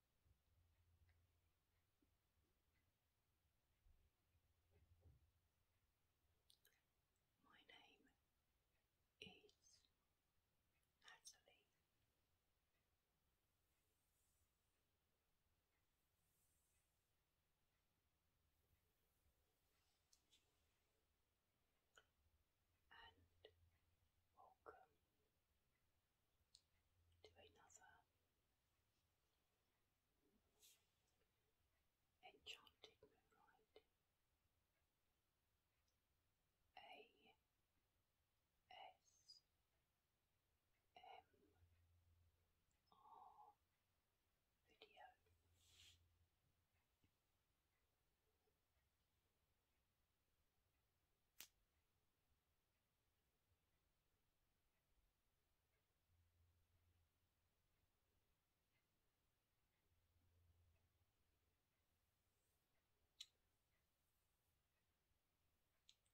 my name is Natalie. And welcome do another. Enchanted Moonlight. A S M R video.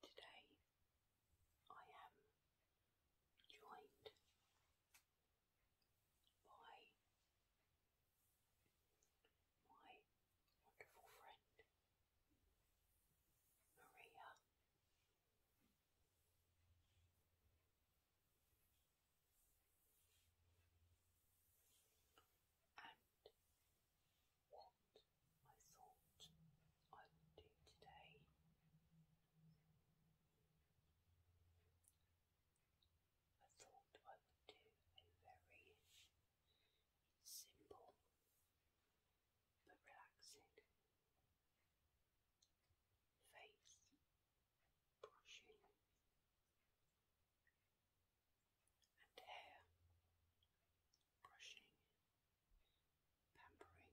Today I am joined by my wonderful friend Maria. And what I thought I would do today I thought I would do a very simple but relaxing. Face brushing and hair brushing, pampering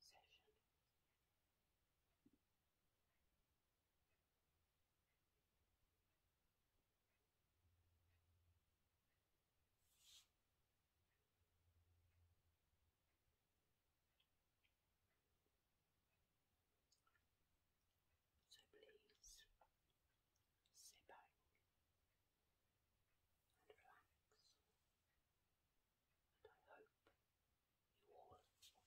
session. So please sit back and relax, and I hope you all enjoy.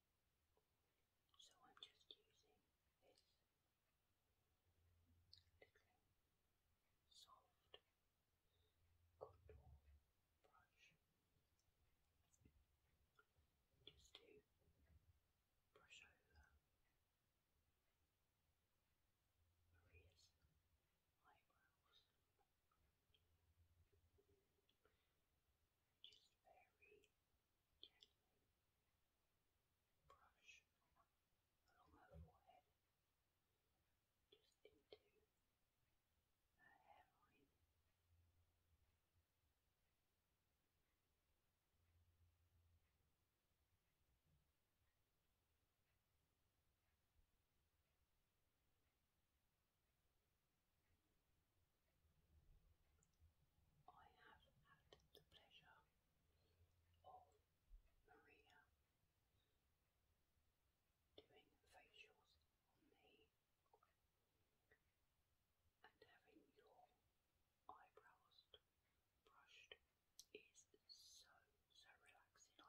So I'm just using this little soft contour brush just to brush over Maria's eyebrows just very gently brush along her forehead, just into her hairline. Just I have had the pleasure of Maria doing facials on me and having your eyebrows brushed is so, so relaxing, I feel.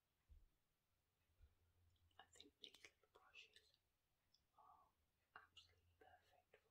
I think these little brushes are absolutely perfect for it.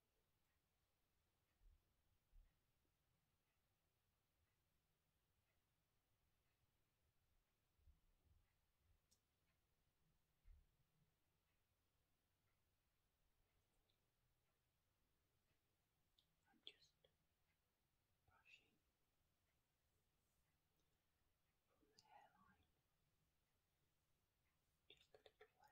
I'm just brushing from the hairline just let it play into the hair.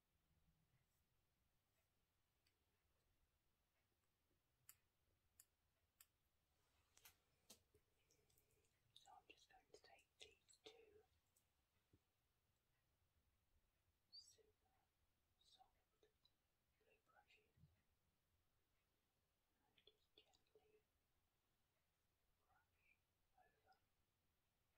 So I'm just going to take two super soft blue brushes and just gently brush over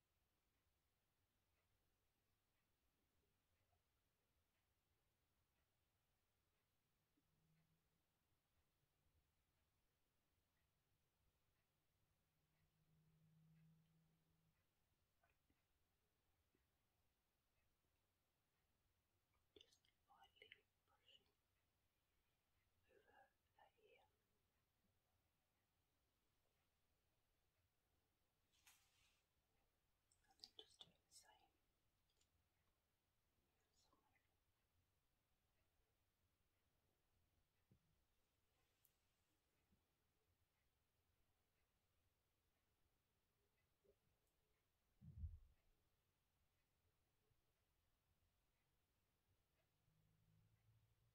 Just lightly brushing over her ear. And then just do the same the side.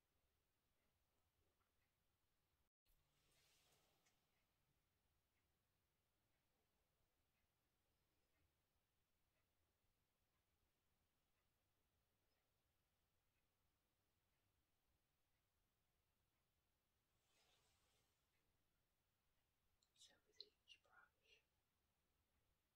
So with each brush,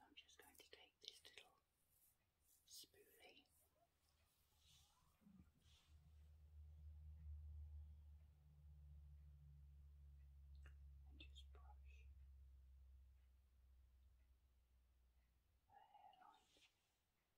I'm just going to take this little spoolie. And just brush the hairline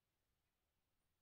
Just making my way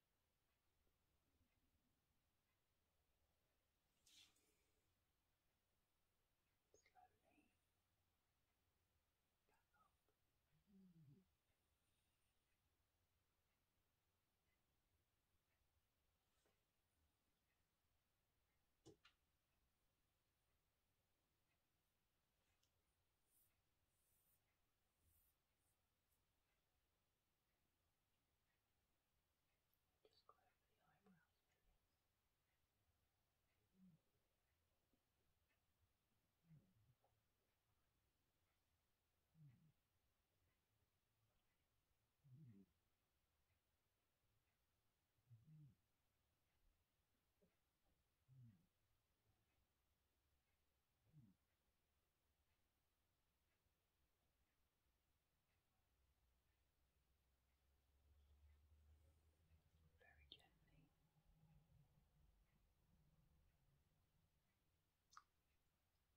Slowly back up. Mm. Just go over the eyebrows, please. Mm. Mm. Mm. Mm. Mm. Mm very gently. Down and up. Down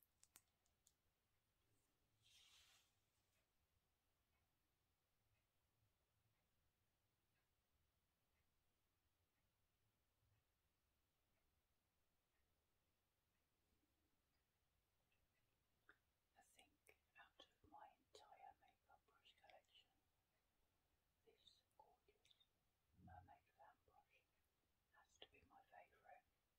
I think out of my entire makeup brush collection, this gorgeous mermaid fan brush has to be my favourite.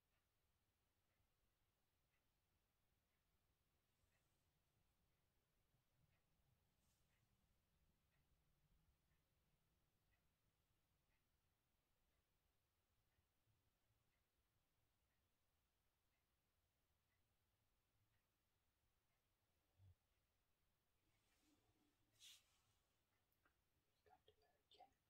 He's going to very gently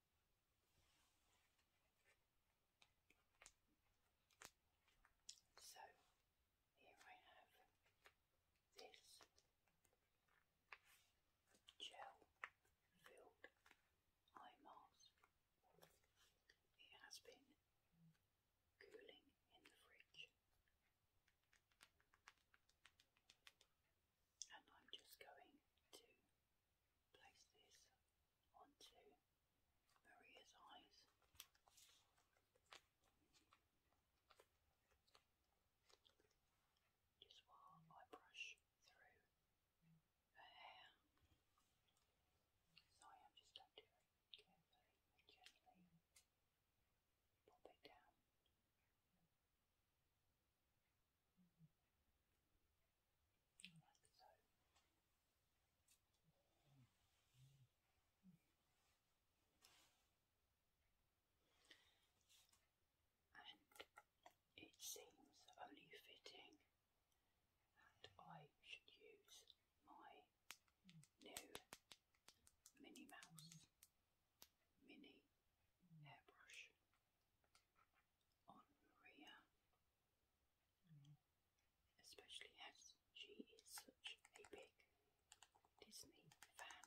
So here I have this gel filled eye mask. It has been cooling in the fridge and I'm just going to place this onto Maria's eyes. Just while I brush through her hair. So I am just going carefully gently pop it down it seems only fitting that I should use my new Minnie Mouse Mini Hairbrush on Maria, mm. especially as she is such a big Disney fan.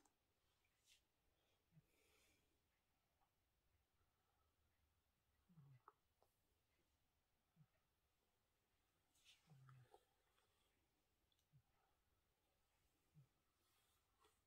Mm. Mm.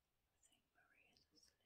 I think Maria's asleep.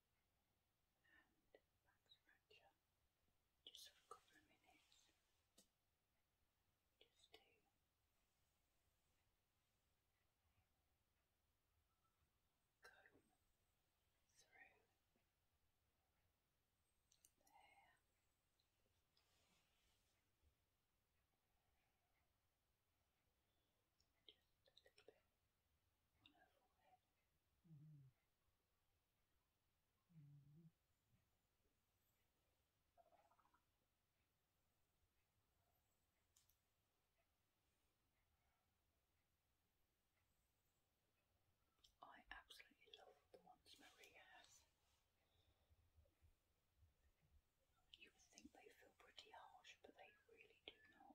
and back Just a couple of minutes. Just to comb through the Just a little bit I absolutely love the ones Marie has. You would think they feel pretty harsh, but they really do not.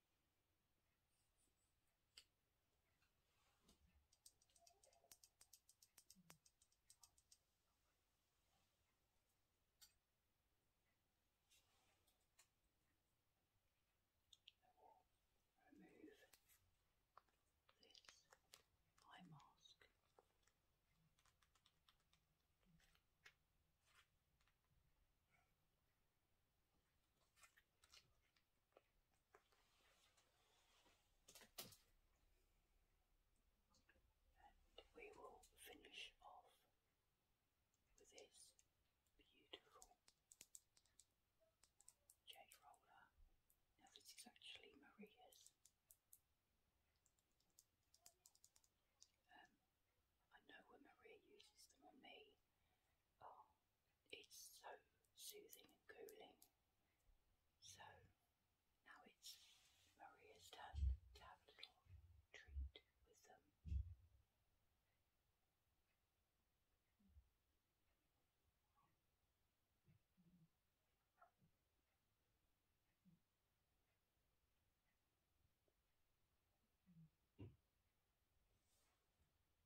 I will remove this eye mask. And we will finish off with this beautiful jade roller. Now, this is actually Maria's. Um, I know when Maria uses them on me, oh, it's so soothing and cooling. So now it's Maria's turn to have a little treat with them.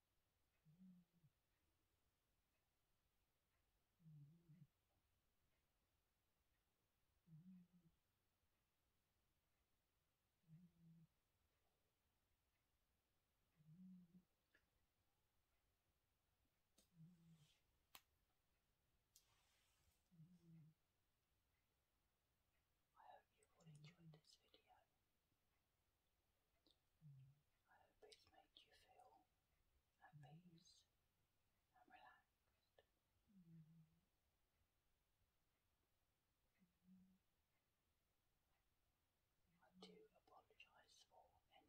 I hope you all enjoyed this video. Mm. I hope it's made you feel at mm. peace and relaxed. Mm-hmm. I do apologise for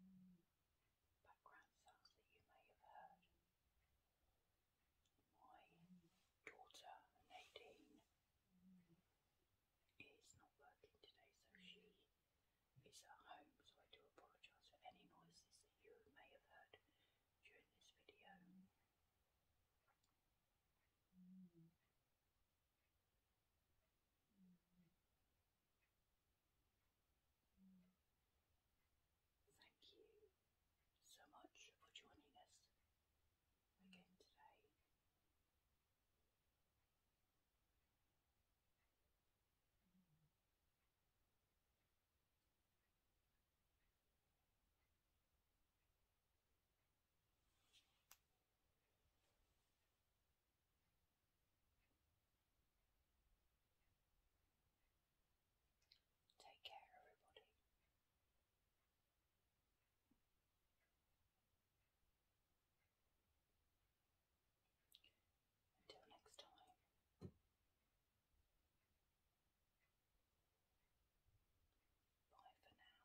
any mm-hmm. background sounds that you may have heard. My daughter, Nadine, mm-hmm. is not working today, so she it's at home, so I do apologise for any noises that you may have heard during this video. Thank you so much for joining us again today. Take care, everybody. Until next time. Bye for now.